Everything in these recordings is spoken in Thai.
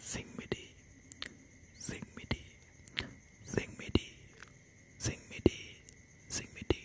sing me dee, sing me dee, sing me dee, sing me dee, sing me dee.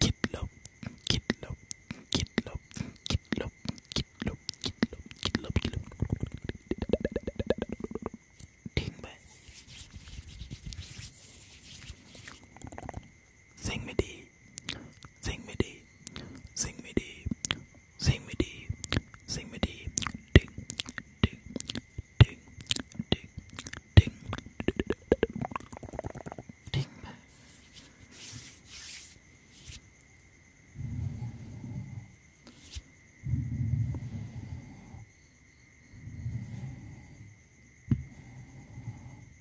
Get low, get low, get low, get low, get low, get low, get low, get low. Ding bang. Sing me deep, sing me deep, sing me deep, sing me deep, sing me deep, ding, ding, ding, ding, ding, ding, ding.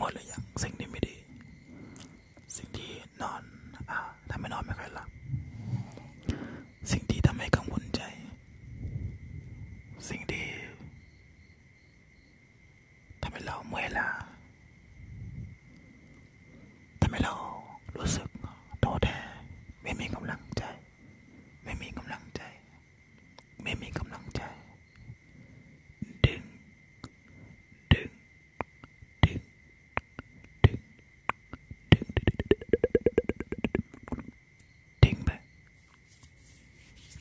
หมดเลยยังสิ่งที่ไม่ดี สิ่งที่นอนอ่าทำให้นอนไม่ค่อยหลับสิ่งที่ทำให้กังวลใจ สิ่งที่ทำให้เราเมื่อยล้าทำให้เรารู้สึกท้อแท้ไม่มีกำลังใจไม่มีกำลังใจ ไม่มีกำลังใจ ดึงดึงดึงดึงดึงดึงดึงไป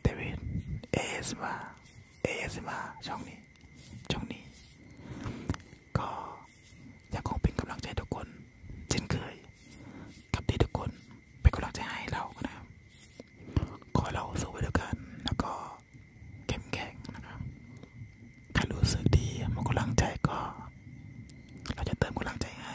เดวิดเอสมาเอสมา ช่องนี้ ช่องนี้ ก็ยังคงเป็นกำลังใจทุกคน เช่นเคยกับที่ทุกคนเป็นกำลังใจให้เรานะครับขอเราสู้ไปด้วยกัน แล้วก็เข้มแข็งนะครับถ้ารู้สึกดีมันกำลังใจก็เราจะเติมกำลังใจให้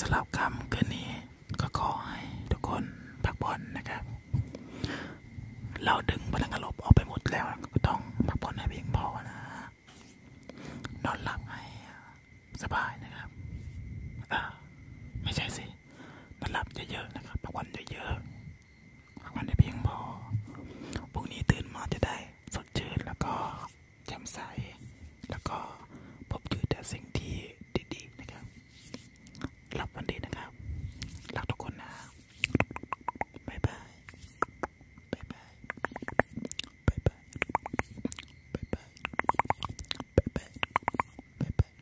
สำหรับคำคืนนี้ก็ขอให้ทุกคนพักผ่อนนะครับ เราดึงพลังาลบออกไปหมดแล้วก็ต้องพักผ่อนให้เพียงพอนะ นอนหลับให้สบายนะครับไม่ใช่สิ นอนหลับเยอะๆนะครับพักผ่อนเยอะๆพักผ่อนให้เพียงพอพรุ่งนี้ตื่นมาจะได้สดชื่นแล้วก็แจ่มใสแล้วก็พบเจอแต่สิ่งที่ดีๆนะครับหลับวันดีนะครับ รักทุกคนนะ บ๊ายบาย บ๊ายบาย บ๊ายบาย บ๊ายบาย บ๊ายบายบ๊ายบาย